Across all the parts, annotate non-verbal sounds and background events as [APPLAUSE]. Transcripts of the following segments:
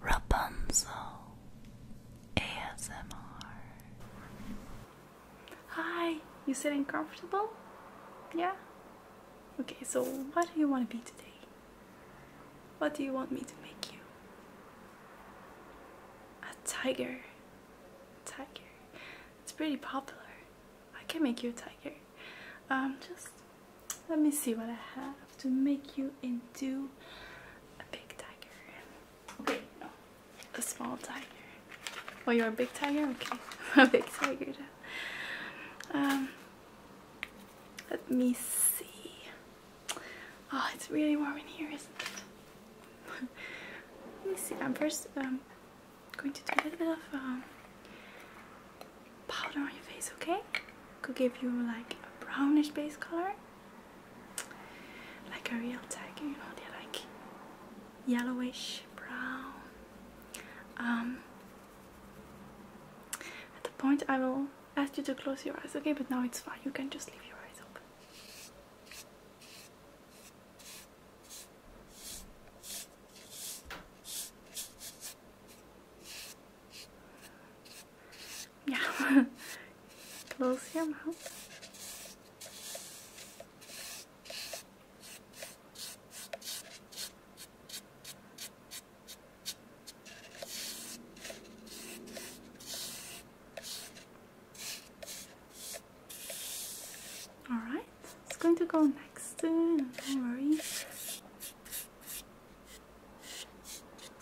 Rapunzel ASMR. Hi, you sitting comfortable? Yeah? Okay, so what do you want to be today? What do you want me to make you? A tiger. A tiger. It's pretty popular. I can make you a tiger. Um, just let me see what I have to make you into a big tiger. Okay, no, a small tiger. Well, oh, you're a big tiger? Okay, [LAUGHS] a big tiger. Um, let me see. Oh, it's really warm in here, isn't it? [LAUGHS] let me see. I'm first um, going to do a little bit of um, powder on your face, okay? Could give you like a brownish base color, like a real tiger, you know, they're like yellowish brown. Um, at the point, I will ask you to close your eyes, okay? But now it's fine, you can just leave your eyes open. Yeah. [LAUGHS] Close your mouth. Alright, it's going to go next soon, don't worry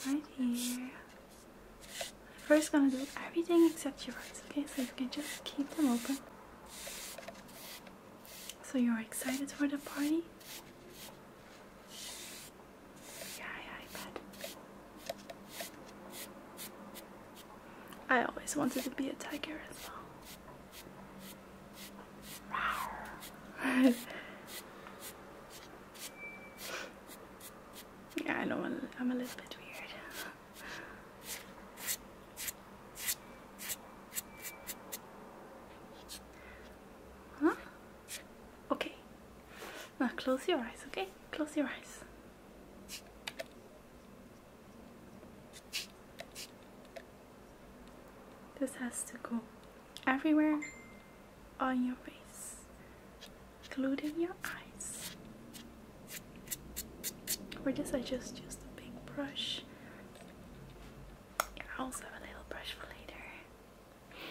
right here. I'm first gonna do everything except your eyes, okay? So you can just keep them open. So you're excited for the party? Yeah, yeah, I bet. I always wanted to be a tiger as well. [LAUGHS] yeah, I know I'm, a little bit weird. Huh? Okay. Now uh, close your eyes, okay? Close your eyes. This has to go everywhere on your face, including your eyes. For this, I just use a big brush. I also have a little brush for later.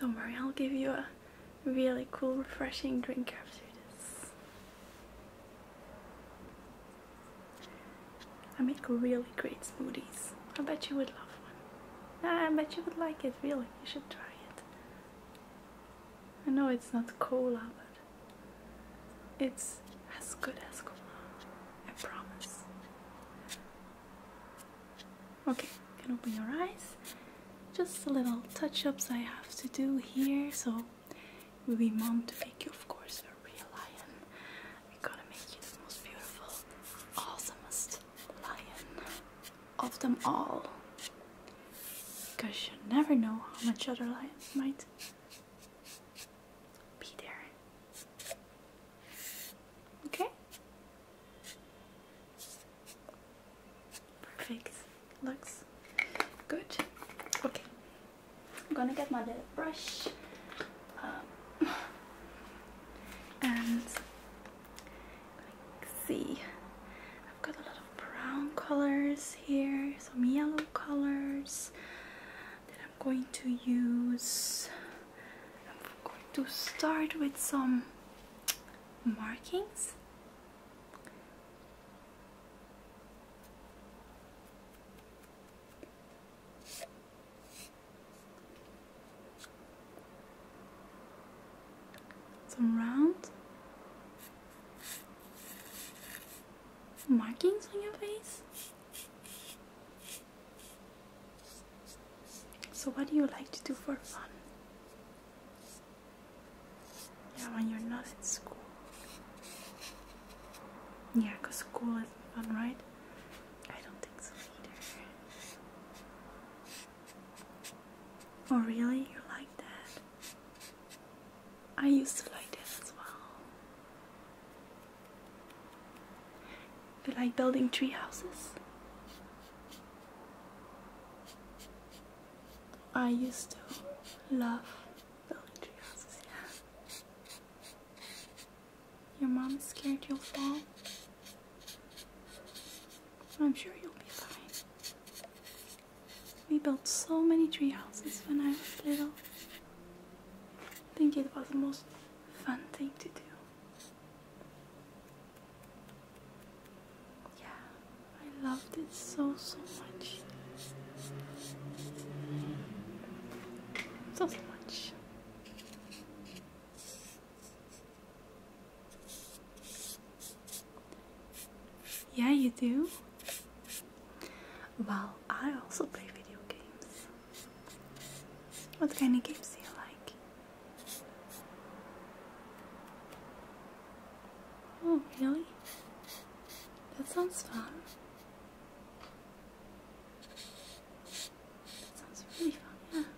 Don't worry, I'll give you a really cool, refreshing drink after this. I make really great smoothies. I bet you would love one. I bet you would like it, really. You should try it. I know it's not cola, but it's as good as cola. I promise. Okay, you can open your eyes. Just a little touch-ups I have to do here, so we mom to make you, of course, a real lion. We're gonna make you the most beautiful, awesomest lion of them all. Because you never know how much other lions might be there. Okay? Perfect. Looks good. Okay. I'm gonna get my little brush um, [LAUGHS] and see I've got a lot of brown colors here some yellow colors that I'm going to use I'm going to start with some markings some round markings on your face. So what do you like to do for fun? Yeah, when you're not at school. Yeah, because school is fun, right? I don't think so either. Oh, really? You like that? I used to like that as well. You like building tree houses? I used to love building tree houses, yeah. Your mom is scared you'll fall. I'm sure you'll be fine. We built so many tree houses when I was little. I think it was the most fun thing to do. Yeah, I loved it so, so much. So, so much. Yeah, you do. Well, I also play video games. What kind of games do you like? Oh, really? That sounds fun. That sounds really fun, -hmm.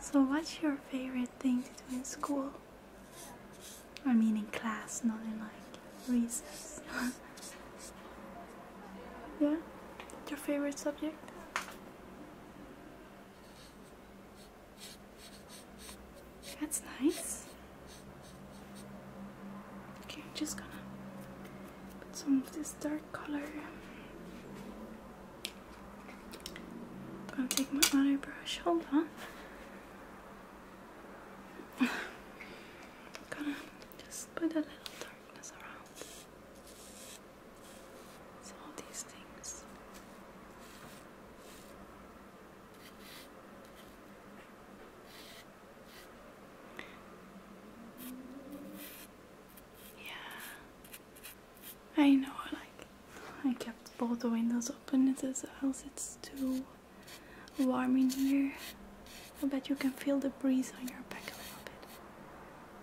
So, what's your favorite thing to do in school? I mean, in class, not in like recess. [LAUGHS] yeah? Your favorite subject? That's nice. Okay, I'm just gonna put some of this dark color I'm gonna take my eyebrush. brush. Hold on. gonna just put a little darkness around. So these things. Yeah. I know, like, I kept both the windows open in else it's too warm in here. I bet you can feel the breeze on your back a little bit.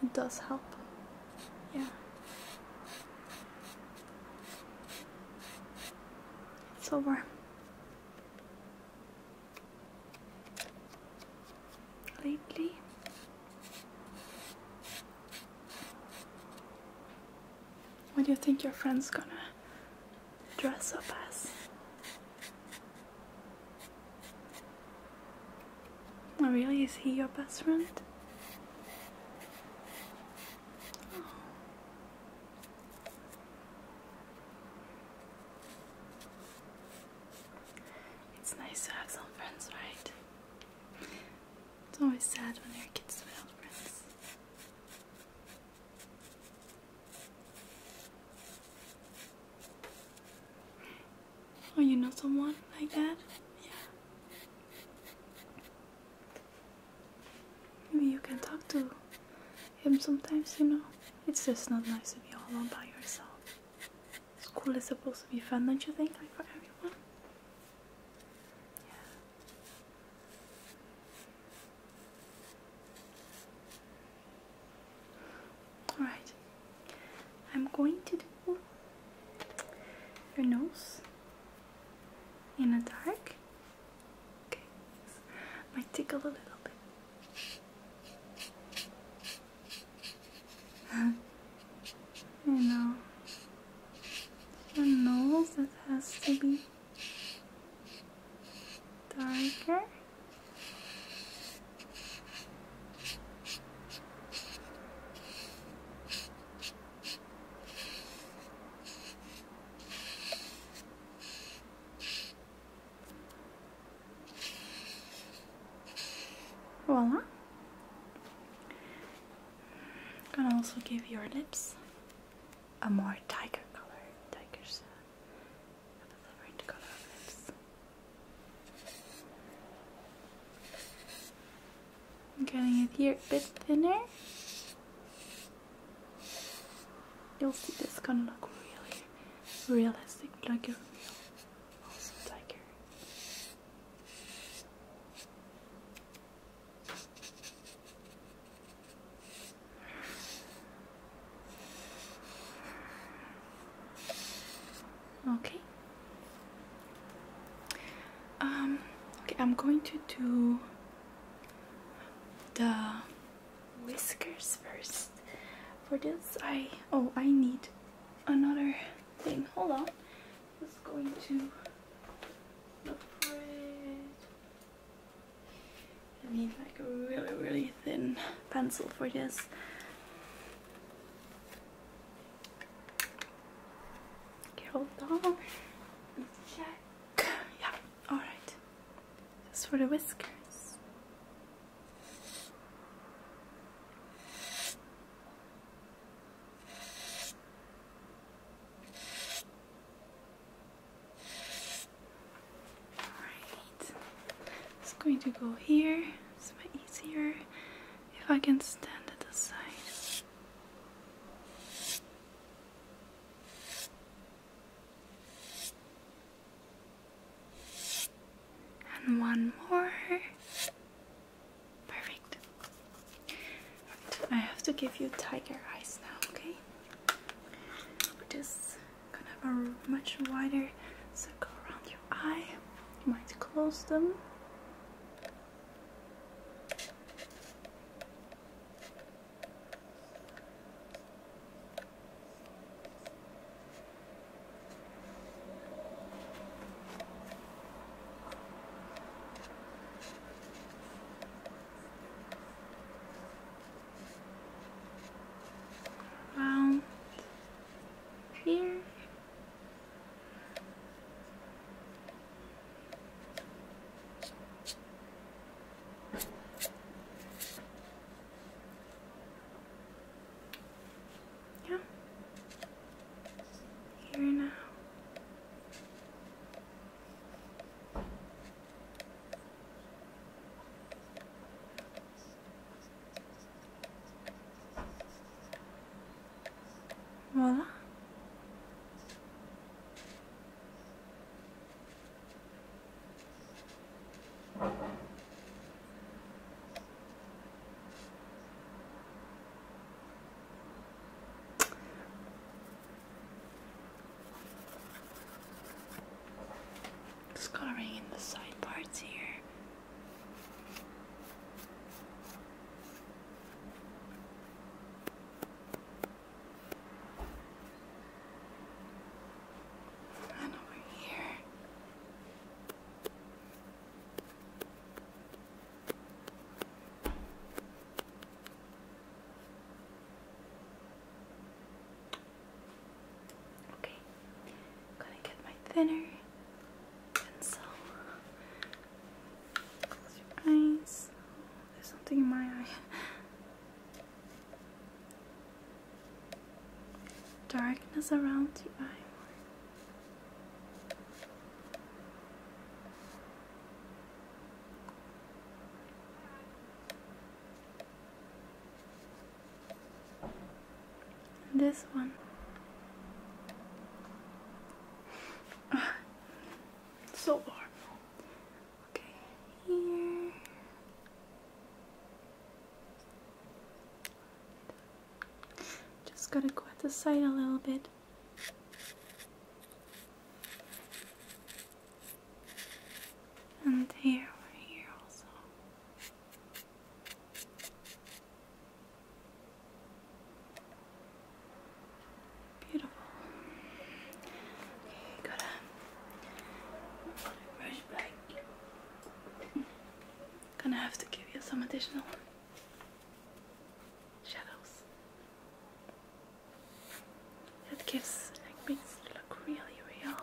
It does help. Yeah. It's over lately. What do you think your friend's gonna dress up as? Oh, really? Is he your best friend? Oh. It's nice to have some friends, right? It's always sad when your kids fail friends. Oh, you know someone like that? Yeah. Maybe you can talk to him sometimes, you know? It's just not nice to be all alone by yourself. School is supposed to be fun, don't you think? Like for everyone? Alright, I'm going to do your nose in the dark. Okay, might tickle a little bit you know, your nose it has to be darker. Voila. I'm gonna also give your lips a more tiger color, tiger's uh, different color of I'm getting it here a bit thinner. You'll see this gonna look really realistic, like a real tiger. Okay. Um, okay, I'm going to do the whiskers first. For this, I oh, I need another thing. Hold on is going to the bread. I need like a really, really thin pencil for this. Okay, hold on. Check. Yeah, alright. Just for the whiskers. Alright, just going to go here. It's much easier if I can stand at the side. And one more. Perfect. I have to give you tiger eyes now, okay? just gonna have a much wider circle around your eye. You might close them. Around here. Yeah. Here now. Voila. Scarring in the side parts here. And over here. Okay, gonna get my thinner pencil. Close your eyes. There's something in my eye. [LAUGHS] Darkness around the eye this one. [LAUGHS] so warm. Okay, here. Just gotta go at the side a little bit. And here, here also. Beautiful. Okay, got brush back. Gonna have to give you some additional shadows. That gives, like, makes it look really real.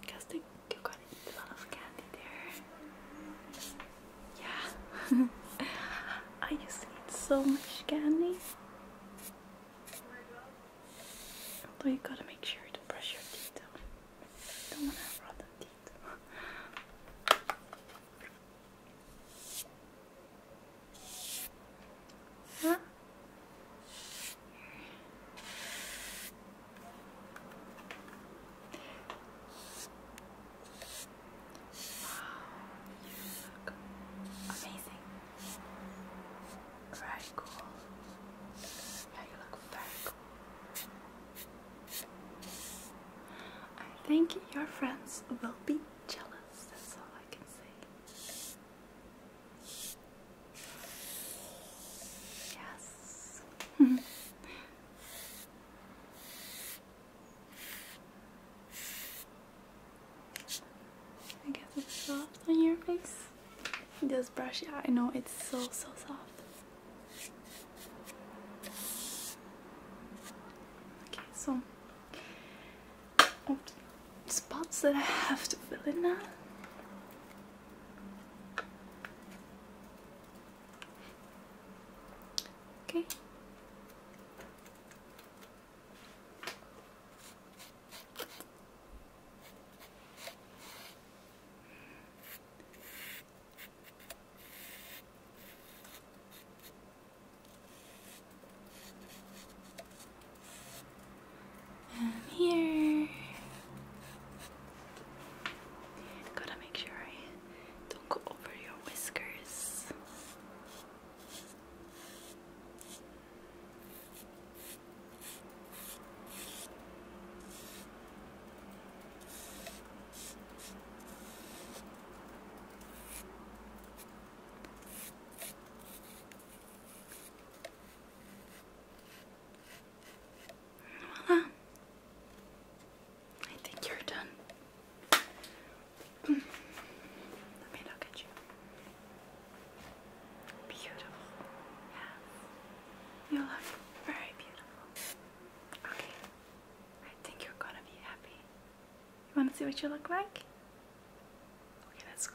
Because they got a lot of candy there. Yeah. [LAUGHS] I just to eat so much candy. Oh, you gotta make sure to brush your teeth down. You don't wanna have rotten teeth. huh? Wow, oh, amazing. Very cool. Yeah, you look very cool. I think your friends will be jealous, that's all I can say. Yes. [LAUGHS] I guess it's soft on your face. Just brush it out. I know it's so, so soft. Okay, so spots that I have to fill in now. Okay. And here, gotta make sure I don't go over your whiskers. Voila. I think you're done. Mm. Let me look at you. Beautiful. Yes. You look very beautiful. Okay. I think you're gonna be happy. You wanna see what you look like? Okay, let's go.